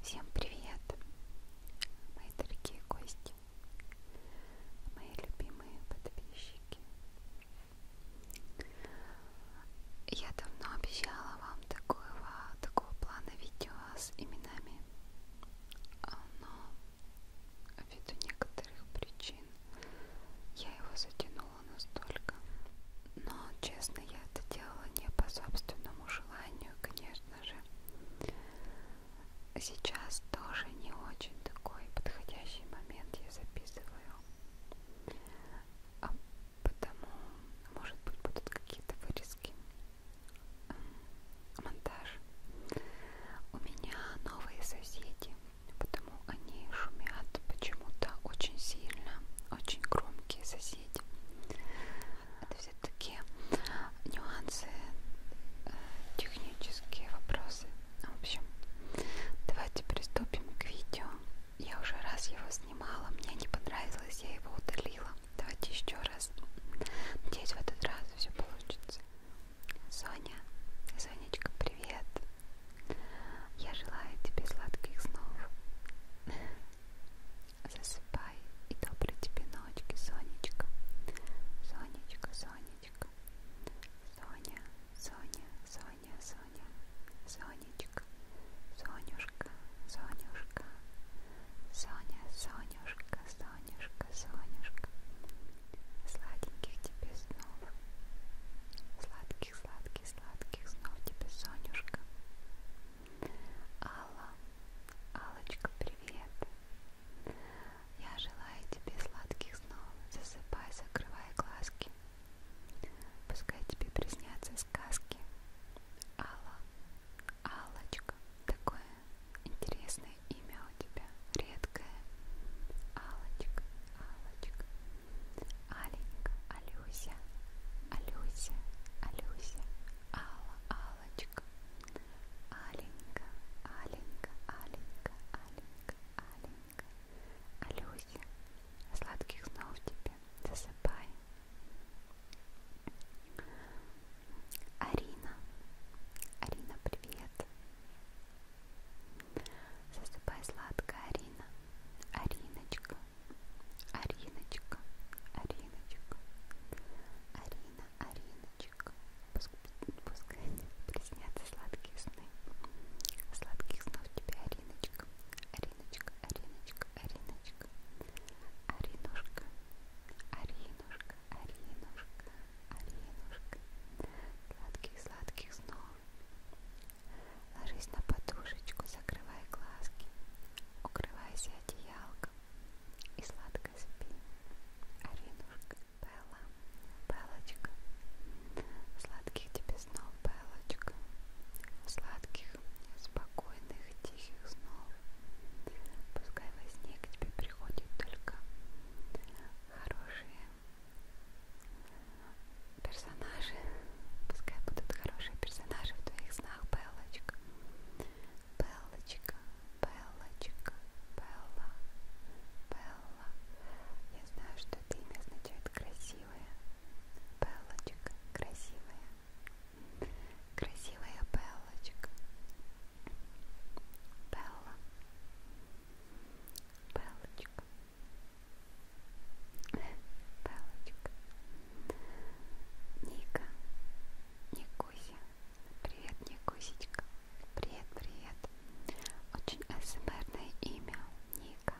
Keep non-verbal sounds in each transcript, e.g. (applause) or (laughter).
Всем привет, мои дорогие гости, мои любимые подписчики. Я давно обещала вам такого, такого плана видео с именами но ввиду некоторых причин я его затянула настолько. Но, честно, я это делала не по собственному желанию, конечно же. Сейчас тоже не очень такой подходящий момент я записываю. А потому, может быть, будут какие-то вырезки монтаж. У меня новые соседи, потому они шумят почему-то очень сильно, очень громкие соседи. Это все такие нюансы, э, технические вопросы. В общем, давайте приступим к видео. Я уже раз его снимала, мне не понравилось, я его удалила. Давайте еще раз. Надеюсь, в этот раз все получится. Соня, Сонечка, привет. Я желаю тебе сладких снов. Засыпай и доброй тебе ночки, Сонечка. Сонечка, Сонечка. Соня, Соня, Соня, Соня. Сонечка, Сонюшка, Сонюшка. Соня, Сонюшка, Соня. Сонюшка, Сонюшка, сладеньких тебе снов, сладких, сладких, сладких снов тебе, Сонюшка. Алла, Алочка, привет. Я желаю тебе сладких снов. Засыпай, закрывай глазки. Пускай тебе приснятся сказки. Алла, Алочка, такое интересное имя у тебя, редкое. Алочка, Алочка, Аленька, Алюся, Алюся, Алюся, Алла, Алочка, Аленька, Аленька, Аленька, Аленька, Аленька, Алюся, сладких снов тебе, засыпай. Арина. Арина, привет. Засыпай сладко, Арина. Ариночка. Ариночка. Ариночка. Арина, Ариночка. Пускай, пускай приснятся сладкие сны. Сладких снов тебе, Ариночка. Ариночка, Ариночка, Ариночка. Аринушка. Аринушка. Аринушка, Аринушка, сладких-сладких снов. Ложись на подушечку, закрывай глазки, укрывайся одеялком и сладко спи. Аринушка, Белла, Белочка, сладких тебе снов, Белочка, сладких, спокойных, твоих тихих снов. Пускай во сне к тебе приходят только хорошие персонажи. Пускай будут хорошие персонажи в твоих снах, Белочка. Белочка, Белочка, Белла, Белла. Я знаю, что это имя означает красивая. Белочка, красивая. Красивая Беллочка. Белла. Беллочка. Беллочка. Ника. Никуся. Привет, Никусечка. Привет, привет. Очень СМРное имя. Ника.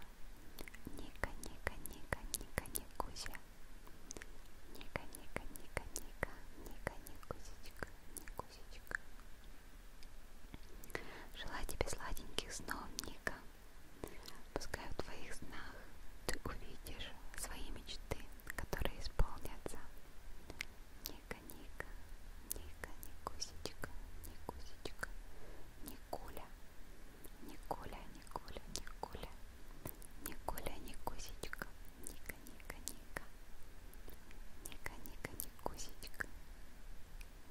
Ника, Ника, Ника, Ника, Никуся. Ника, Ника, Ника, Ника, Ника, Никусечка, Никусечка. Желаю тебе сладеньких снов, Ника. Пускай в твоих снах ты увидишь свои мечты, которые исполнятся. Ника, Ника, Ника, Никусечка, Никусечка, Никуля, Никуля, Никуля, Никуля, Никуля, Никусечка, Ника, ника, ника, ника, ника, никусечка,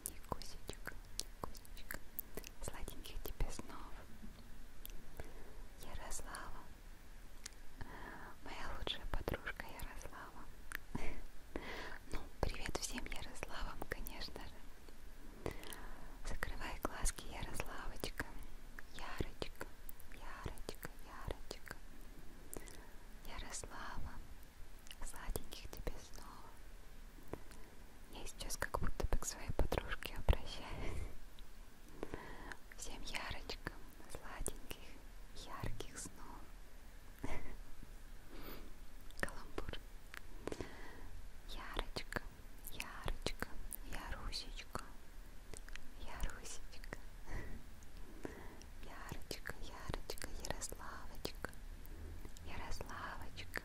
никусечка, никусечка, сладеньких тебе снов. Ярослава, моя лучшая подружка Ярослава. Ну, привет всем Ярославам, конечно же. Закрывай глазки, Ярославочка, Ярочка, Ярочка, Ярочка, Ярослава, сладеньких тебе снова. Я сейчас как будто бы к своей подружке обращаюсь. Всем Ярочкам, сладеньких, ярких снов. Каламбур. Ярочка, Ярочка, Ярусечка, Ярусечка, Ярочка, Ярочка, Ярославочка, Ярославочка,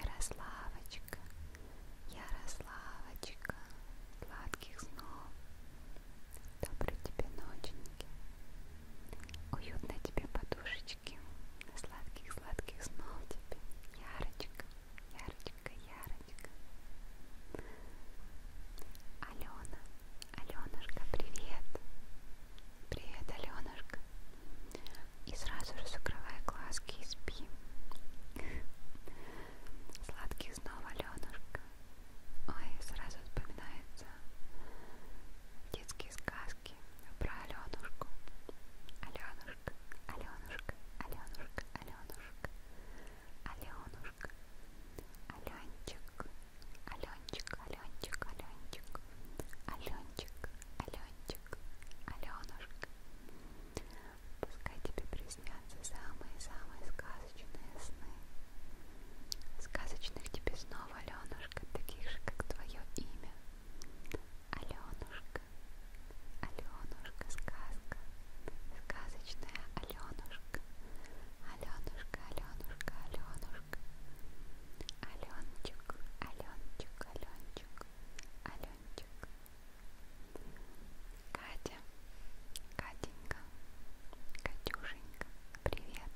Ярославочка, Ярославочка, сладких снов, доброй тебе ноченьки, уютной тебе подушечки, сладких-сладких снов тебе, Ярочка, Ярочка. Ярочка, Ярочка. Алена, Аленушка, привет. Привет, Аленушка. И сразу же закрывай глазки и спи. Сладких снов, Аленушка. Ой, сразу вспоминаются детские сказки про Аленушку. Аленушка, Аленушка, Аленушка, Аленушка. Аленушка, Аленчик, Аленчик, Аленчик, Аленчик, Аленчик, Аленчик, Аленушка. Пускай тебе приснятся самые-самые сказочные сны. Сказочных тебе снова, Аленушка, таких же, как твое имя. Аленушка, Аленушка, сказка, сказочная Аленушка, Аленушка, Аленушка, Аленушка, Аленчик, Аленчик, Аленчик, Аленчик. Катя, Катенька, Катюшенька, привет.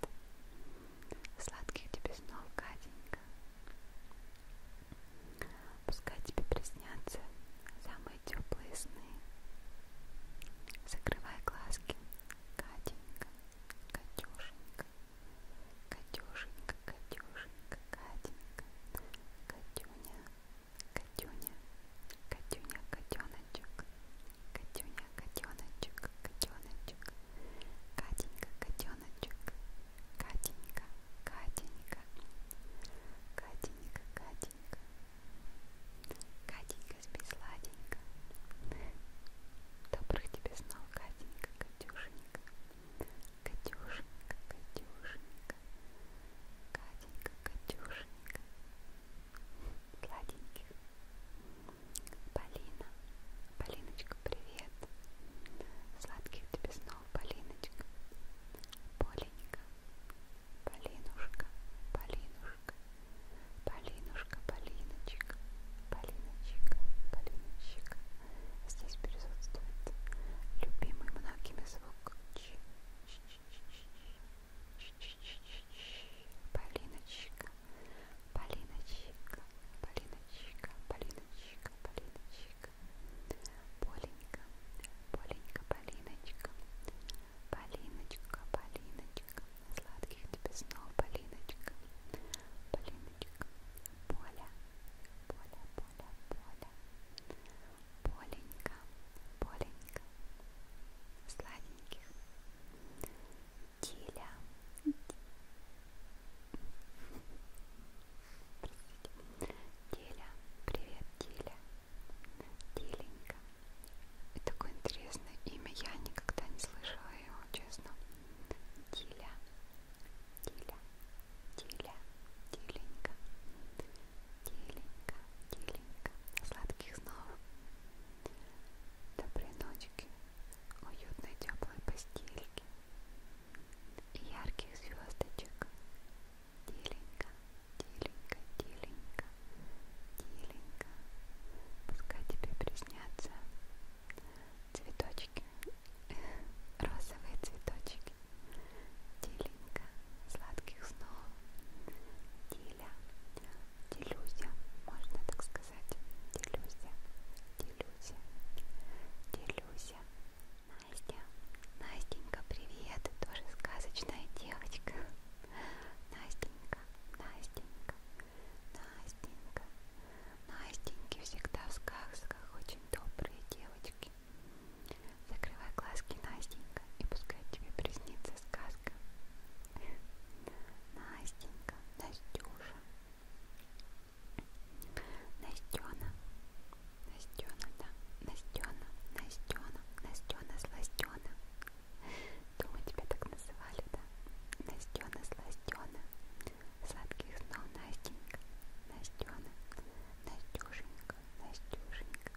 Сладких тебе снов, Катенька. Пускай тебе приснятся самые ласковые теплые сны. Закрывай глазки, Катенька, Катюшенька, Катюшенька, Катюшенька, Катенька, Катюня, Катюня, Катюня, котеночек, Катюня, котеночек, котеночек, Катенька, котеночек, Катенька, Катенька, Катенька, Катенька, Катенька, спи сладенько. Добрых тебе снов, Катенька, Катюшенька. Катюшенька, Катюшенька. Катенька, Катюшенька. Сладеньких. Полина. Полиночка, привет. Сладких тебе снов, Полиночка. Поленька. Полинушка, Полинушка, Полинушка, Полиночка, Полиночка, Полиночка. Здесь присутствует любимый многими звук Ч. Полиночка, Полиночка, Полиночка, Полиночка, Полиночка. Полиночка, Поленька, Поленька, Полиночка, Полиночка, Полиночка, сладких тебе снов, Полиночка, Полиночка, Поля, Поля, Поля, Поля, Поленька, Поленька, сладеньких, Диля, Диля, привет, Диля Теленька. И такое интересное имя. Я никогда не слышала его, честно. Теля. Теля. Теля. Теленька. Теленька. Теленька. Сладких снов. Доброй ночки. Уютной теплой постельки. И ярких звездочек. Тиленько, тиленько, тиленько, тиленько. Пускай тебе приснятся цветочки, розовые цветочки. Тиленько, сладких снов. Тиля, делюся, можно так сказать. Делюся, делюся, делюся. На Настя. Настенька, привет. Ты тоже сказочная девочка. Настенька, Настенька, Настенька. Настеньки всегда в сказках очень добрые девочки. Закрывай глазки, Настенька, и пускай тебе приснится сказка. Настенька, Настюша, Настена, Настена, да, Настена, Настена, Настена, Сластена. Думаю, тебя так называли, да? Настена, Сластена. Сладких снов, Настенька, Настена, Настюшенька, Настюшенька.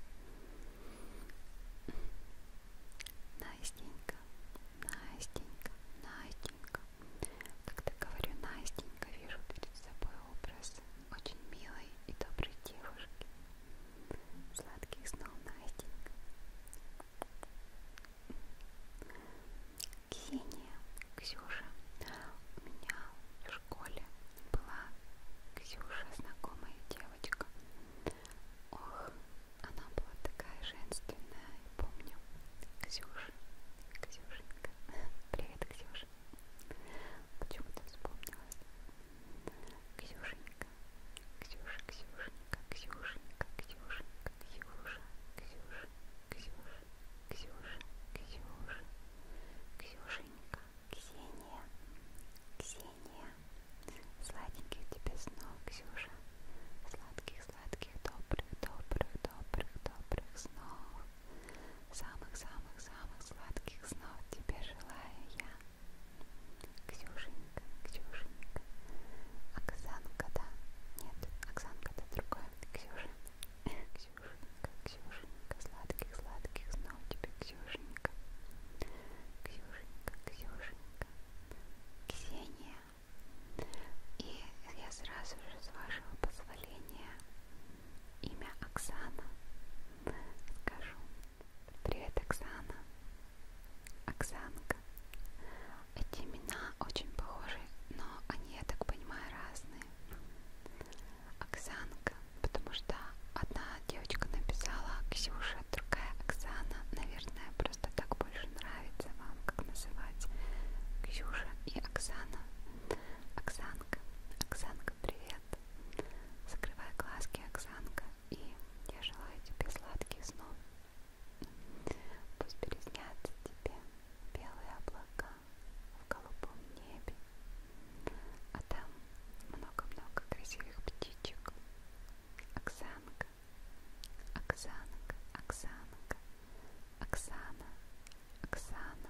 Настенька, Настенька, Настенька. Когда говорю Настенька, вижу перед собой образ очень милой и доброй девушки. Сладких снов, Настенька. Ксения, Ксюша. У меня в школе была Ксюша, знакомая девочка. Ох, она была такая женственная, помню. Ксюша, Ксюшенька. (laughs) Привет, Ксюша. Почему-то вспомнилась. Ксюшенька, Ксюша, Ксюшенька, Ксюшенька, Ксюшенька, Ксюша, Ксюша, Ксюша, Ксюша, Ксюша, Ксюшенька, Ксения, Ксения, сладеньких тебе снов, Ксюша, сладких, сладких, добрых, добрых, добрых, добрых снов. Самых-самых-самых сладких снов тебе желаю я. Ксюшенька, Ксюшенька. Оксанка, да? Нет, Оксанка, да другое. Ксюша. Ксюшенька, Ксюшенька. Сладких-сладких снов тебе, Ксюшенька. Ксюшенька, Ксюшенька. Ксения. И я сразу же, с вашего позволения, Имя Оксана. Скажу. Привет, Оксана. Оксанка. Эти имена очень похожи, но они, я так понимаю, разные. Оксанка, потому что одна девочка написала Ксюша, другая Оксана. Наверное, просто так больше нравится вам, как называть Ксюша и Оксана. Оксанка. Оксана Оксанка, привет! Закрывай глазки, Оксанка, и я желаю тебе сладких снов. Пусть переснятся тебе белые облака в голубом небе, а там много-много красивых птичек. Оксанка, Оксанка, Оксанка, Оксана, Оксана.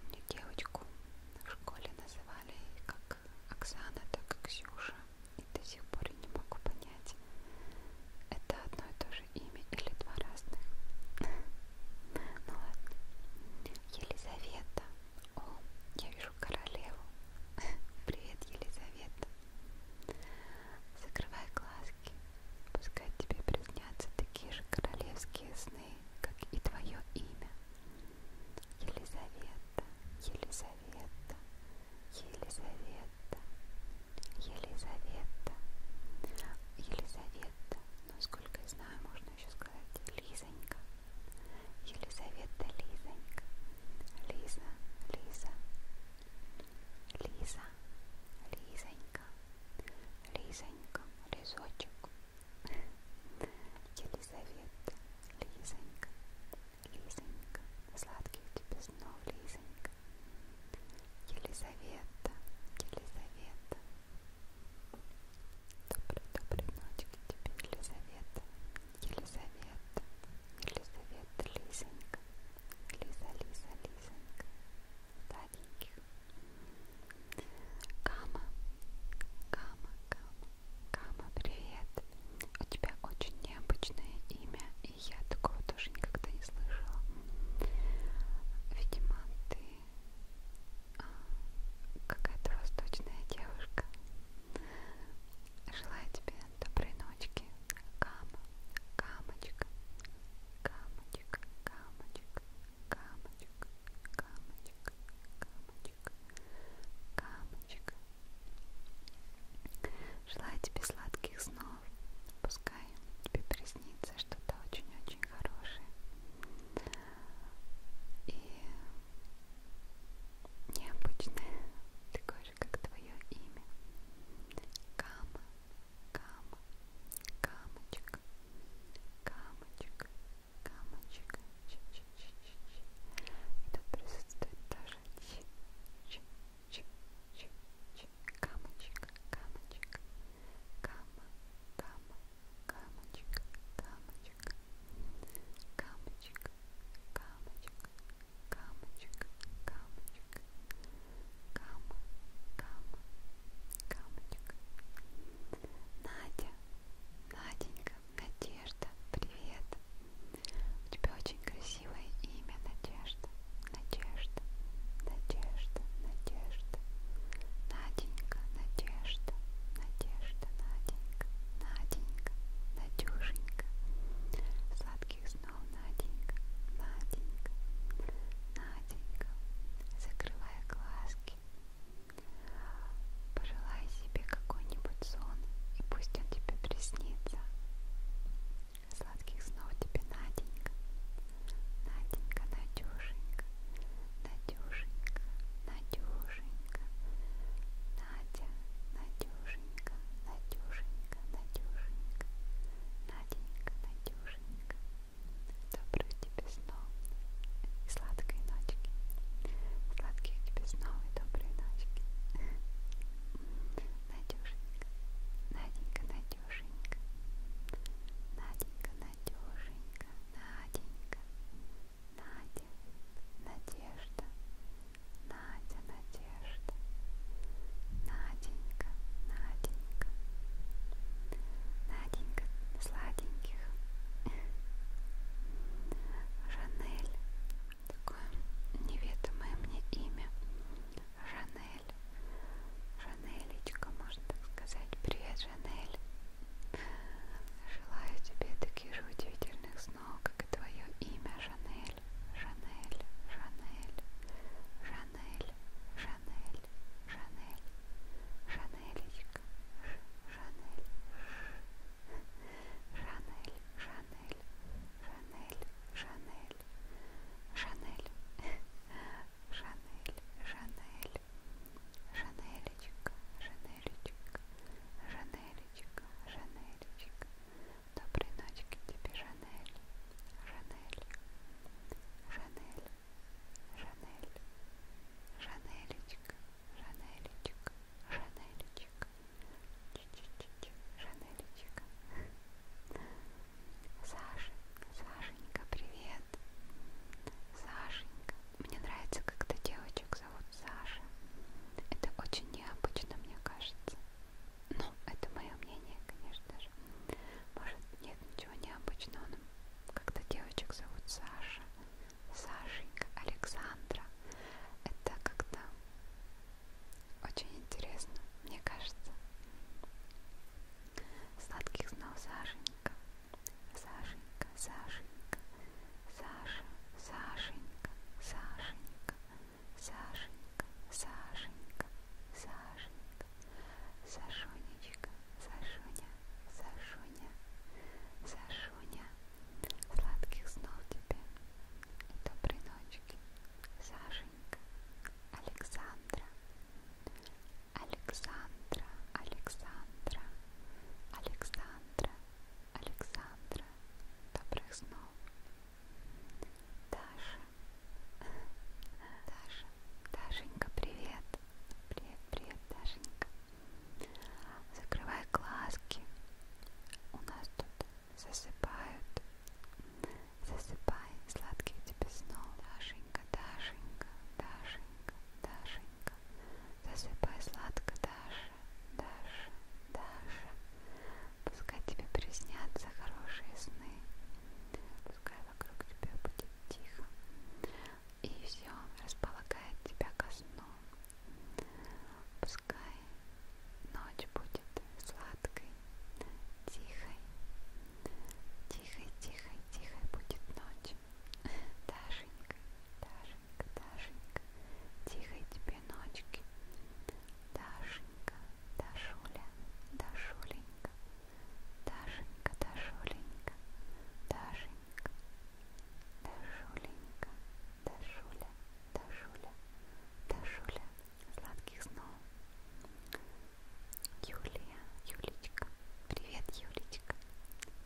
Помню девочку в школе называли как Оксана, так и Ксюша. И до сих пор я не могу понять, это одно и то же имя или два разных. (laughs) Ну ладно. Елизавета. О, я вижу королеву. (laughs) Привет, Елизавета. Закрывай глазки. Пускай тебе приснятся такие же королевские сны, как и твое имя. Елизавета, Елизавета, Елизавета, Елизавета, Елизавета, насколько я знаю, можно еще сказать Лизонька, Елизавета, Лизонька, Лиза, Лиза, Лиза, Лизонька, Лизонька, Лизочек, Елизавета, Лизонька, Лизонька, сладкий у тебя снов, Лизонька. Елизавета, Елизавета. Доброй, доброй ночки тебе, Елизавета, Елизавета, Елизавета, Лизонька, Лиза, Лиза, Лизонька. Сладеньких. Кама, Кама, Кама, Кама, привет. У тебя очень необычное имя, и я такого тоже никогда не слышала. Видимо, ты а, какая-то восточная девушка. Желаю тебе доброй ночки. Кама, камочка, камочка, камочка, камочка, камочка, камочка, камочка, камочек, камочек. Желаю тебе сладких снов. Пускай тебе приснится что-то очень-очень хорошее. И необычное, такое же, как твое имя. Кама, кама, камочек, камочек, Камочка. Ч -ч -ч -ч -ч. И тут присутствует тоже ч ч ч ч ч Камочка, камочка. Кама, кама, камочка, камочка. Камочка, камочка, камочка, камочка. Кама, кама, камочка. Кама, Надя, Наденька, Надежда, привет. У тебя очень красивое имя, Надежда, Надежда, Надежда, Надежда. Наденька, Надежда, Надежда, Наденька, Наденька, Надюшенька. Сладких снов, Наденька, Наденька, Наденька. Закрывая глазки. Наденька, Пожелай себе какой-нибудь сон, и пусть он тебе приснится. Сладких снов тебе, Наденька. Наденька, Надюшенька, Надюшенька, Надюшенька. Надя, Надюшенька, Надюшенька, Надюшенька. Наденька, Надюшенька. Доброго тебе снов и сладкой ночки. Сладких тебе снов и доброй ночки. (laughs) Надюшенька, Наденька, Надюшенька. Наденька, Надюшенька, Наденька. Надя, Надежда. Надя, Надежда. Наденька, Наденька. Наденька, сладенько, сладеньких. Жанель. Такое неведомое мне имя. Жанель. Жанелечка, можно так сказать. Привет, Жанель. Желаю тебе таких же удивительных снов, как и твое имя, Жанель. Жанель, Жанель, Жанель, Жанель, Жанель, Жанелечка, Шанель, Шанель, Шанель, Шанель, Шанель, Шанель, Шанель, Шанель, Шанелечка, Шанелечка, Шанелечка, Шанелечка. Доброй ночки тебе, Шанель, Шанель, Шанель, Жанель, Жанелечка, Жанелечка, Жанелечка, Чи-чи-чи, Жанелечка. Саша, Сашенька, привет. Сашенька. Мне нравится, когда девочек зовут Саша. Это очень необычно, мне кажется. Ну, это мое мнение, конечно же. Может, нет ничего необычного, но когда девочек зовут Саша, Сашенька, Александра. Это как-то очень интересно, мне кажется. Сладких снов, Сашенька. Сашенька, Сашенька, Саша, Сашенька, Сашенька, Сашенька, Сашенька, Сашенька, Сашонечка, Сашуня, Сашуня. Сашуня, Сашуня, сладких снов тебе и доброй ночки, Сашенька, Александра, Александра, Александра, Александра, Александра, добрых снов, Даша, Даша, Дашенька, привет, привет, привет, Дашенька. Закрывай глазки. У нас тут засыпают. Засыпай. Сладких тебе снов. Дашенька, Дашенька, Дашенька, Дашенька. Засыпай сладко, Даша, Даша, Даша. Пускай тебе приснятся хорошие сны. Пускай вокруг тебя будет тихо и все располагает тебя ко сну. Пускай ночь будет сладкой, тихой, тихой, тихой, тихой будет ночь. (laughs) Дашенька, Дашенька, Дашенька, тихой тебе ночки. Дашенька, Дашуля, Дашуленька, Дашенька, Дашуленька, Дашенька. Дашуленька, Дашуля, Дашуля, Дашуля, сладких снов. Юлия, Юлечка, привет, Юлечка.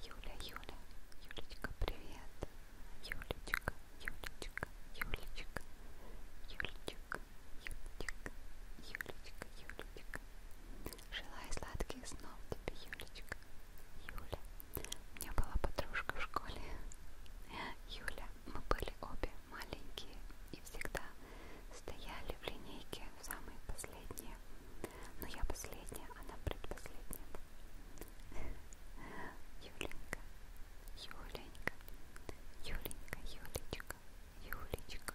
Юля, Юля, Юлечка, привет. Юлечка, Юлечка, Юлечка, Юлечка, Юлечка, Юлечка, Юлечка. Желаю сладких снов тебе, Юлечка. Юля. У меня была подружка в школе. Юля. Мы были обе маленькие и всегда стояли в линейке в самые последние. Но я последняя, она предпоследняя. Юленька. Юленька. Юленька, Юлечка. Юлечка.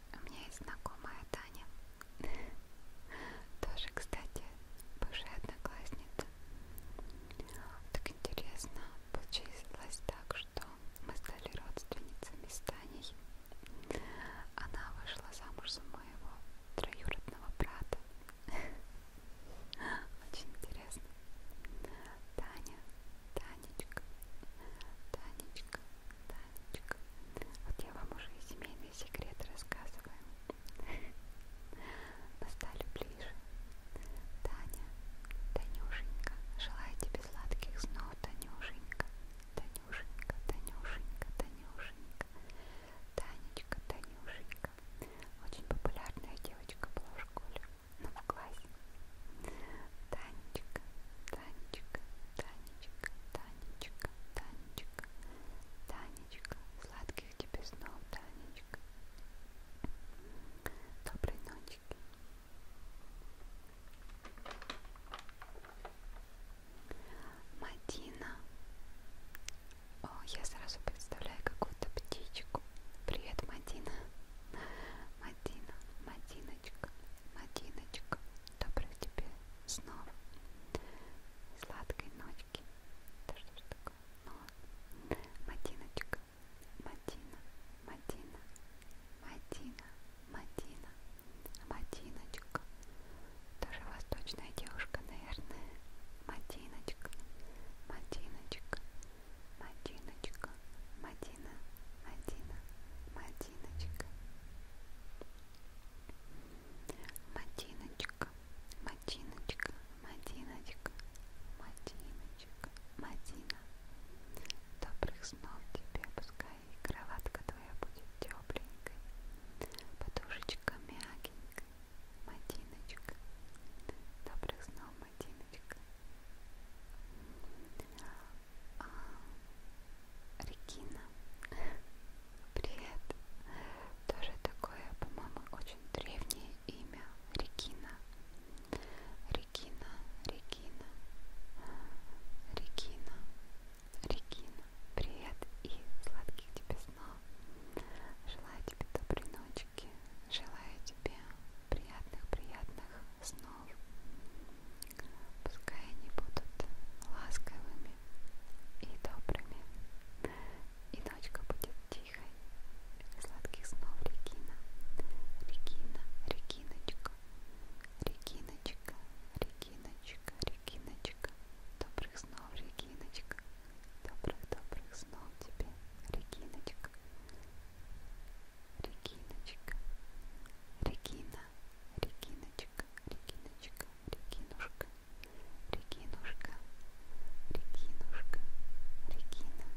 У меня есть знакомая Таня. Тоже, кстати, бывшая одноклассница. Так интересно, получилось так, что мы стали родственницами с Таней. Она вышла замуж за моего троюродного брата. (laughs) Очень интересно. Таня Танечка, Танечка, Танечка. Вот я вам уже и семейные секреты рассказываю. Мы (laughs) стали ближе. Таня, Танюшенька, желаю тебе сладких снов, Танюшенька. Танюшенька, Танюшенька, Танюшенька. Танечка, Танюшенька. Очень популярная девочка была в школе, но в классе. Танечка, Танечка, Танечка, Танечка, Танечка, Танечка, сладких тебе снов, Танечка. Доброй ночки. Мадина. О, я сразу представляю какую-то птичку. Привет, Мадина. Мадина, Мадина, Леночка, Мадиночка, добрых тебе снов, сладкой ночки. Да что ж такое? Ну, Мадиночка, Мадина, Мадина, Мадина, Мадина, Мадиночка. Тоже восточная девушка, наверное. Мадиночка, Мадиночка, Мадиночка, Мадина, Мадина, Мадина. Матиночка, Матиночка, Матиночка, Матиночка, Матиночка, Матина. Добрых снов тебе, пускай и кроватка твоя будет тепленькой, подушечка мягенькая, Матиночка. Добрых снов, Матиночка. А, Регина, привет. Тоже такое, по-моему, очень древнее имя. Регина. Регина, Регина, Регина, Регина. Привет и сладких тебе снов. Желаю тебе доброй ночки. Желаю тебе приятных-приятных снов. Пускай они будут ласковыми и добрыми, и ночка будет тихой. Сладких снов, Регина, Регина, Региночка, Региночка, Региночка, Региночка. Добрых снов, Региночка, добрых-добрых снов тебе, Региночка. Региночка, Регина, Региночка, Региночка, Регинушка, Регинушка, Регинушка, Регина.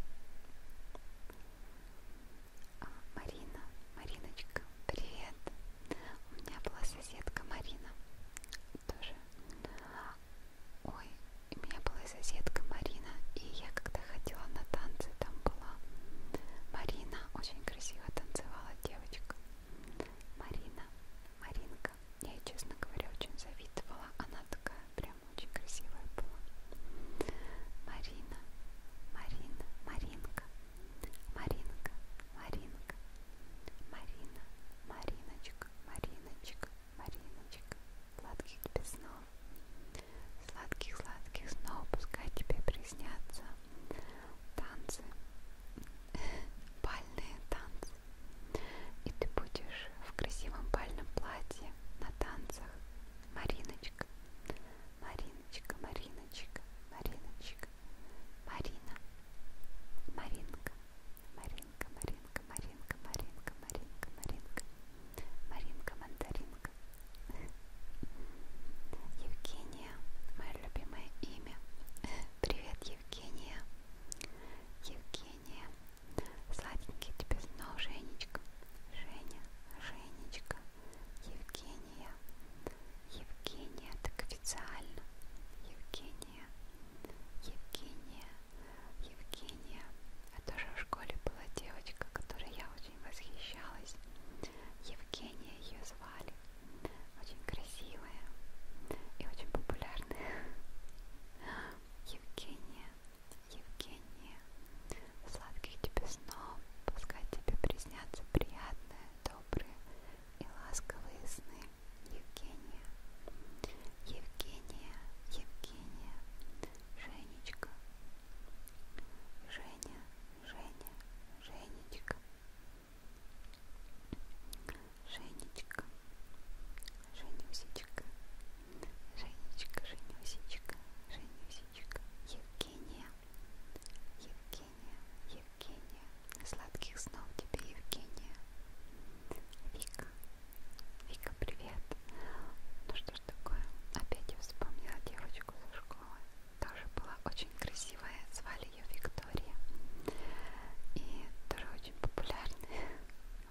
А, Марина, Мариночка, привет. У меня была соседка Марина. Тоже. Ой, у меня была соседка Марина, и я когда ходила на танцы, там была. Марина очень красиво танцевала девочка. Марина, Маринка. Я, честно говоря, очень завидовала. Она такая прям очень красивая была. Марина, Марина, Маринка. Маринка, Маринка. Марина, Мариночка, Мариночка, Мариночка. Сладких тебе снов. Сладких-сладких снов пускай тебе приснятся танцы, (laughs) бальные танцы. И ты будешь в красивом бальном платье на танцах. Мариночка, Мариночка, Мариночка, Мариночка, Марина, Маринка, Маринка, Маринка, Маринка, Маринка, Маринка, Маринка, Маринка, Мандарин рисунок. Евгения, мое любимое имя. (laughs) Привет, Евгения. Евгения. Сладенький тебе снова, Женечка. Женя, Женечка. Евгения. Евгения, так официально. Евгения. Евгения. Евгения. А тоже в школе была девочка, которой я очень восхищалась. Евгения ее звали. Очень красивая и очень популярная. Евгения, Евгения, сладких тебе снов, пускай тебе приснятся приятные, добрые и ласковые сны. Евгения, Евгения, Евгения, Женечка, Женя, Женя, Женечка, Женечка, Женюсечка, Женечка, Женюсечка, Женюсечка, Евгения, Евгения, Евгения, сладких снов тебе, Евгения, Вика, Вика, привет, ну что ж такое, опять я вспомнила девочку, девочку со школы, тоже была очень красивая, звали ее Виктория, и тоже очень популярная.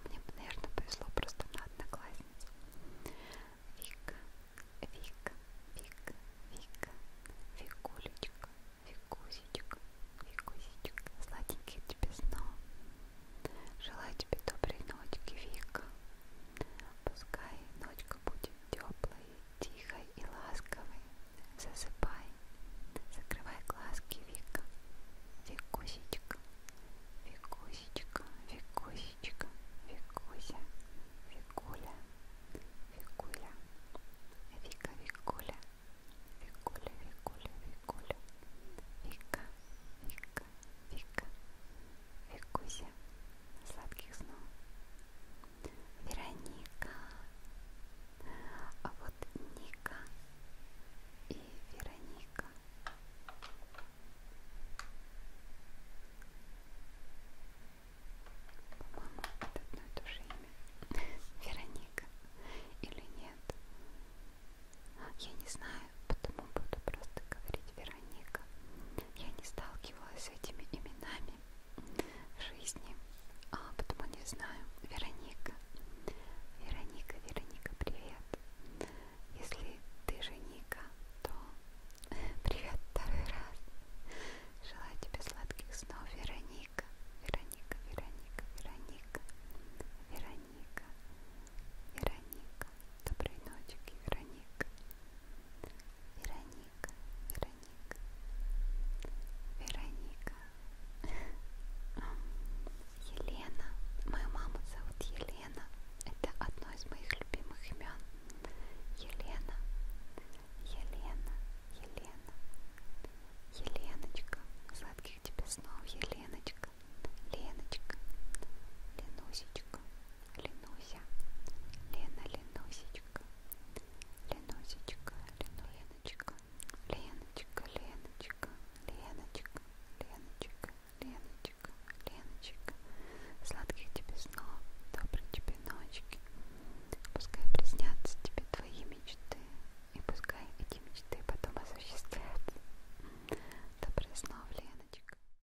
Мне, наверное, повезло просто на одноклассницу. Вика, Вика, Вика, Вика, Викулечка, Викусечка, Викусечка, сладеньких тебе снов. Желаю тебе доброй ночи, Вика пускай ночка будет теплой, тихой и ласковой. Засыпай, закрывай глазки, Вика, Викусечка, Викусечка, Викусечка, Викуся, Викуля, Викуля, Вика, Викуля, Викуля, Викуля, Викуля, Вика, Вика, Вика, Викуся, сладких снов. Вероника, а вот Ника и Вероника. По-моему, это одно и то же имя. Вероника или нет? Я не знаю, потому буду просто говорить Вероника. Я не сталкивалась с этими именами в жизни, а потому не знаю. Вероника. Вероника, Вероника, привет. Если ты же Ника, то (laughs) привет второй раз. Желаю тебе сладких снов, Вероника. Вероника, Вероника, Вероника. Вероника, Вероника. Доброй ночи, Вероника. Вероника, Вероника, Вероника, Елена. Мою маму зовут Елена. Это одно из моих любимых имен. Елена, Елена, Елена, Еленочка. Сладких тебе снов, Еленочка, Леночка, Ленусечка. Ленуся, Лена, Ленусечка, Ленусечка, Леночка, Леночка, Леночка, Леночка, Леночка, Леночка, Леночка. Сладких тебе снов, доброй тебе ночки. Пускай приснятся тебе твои мечты, и пускай эти мечты потом осуществятся. Добрых снов, Леночка.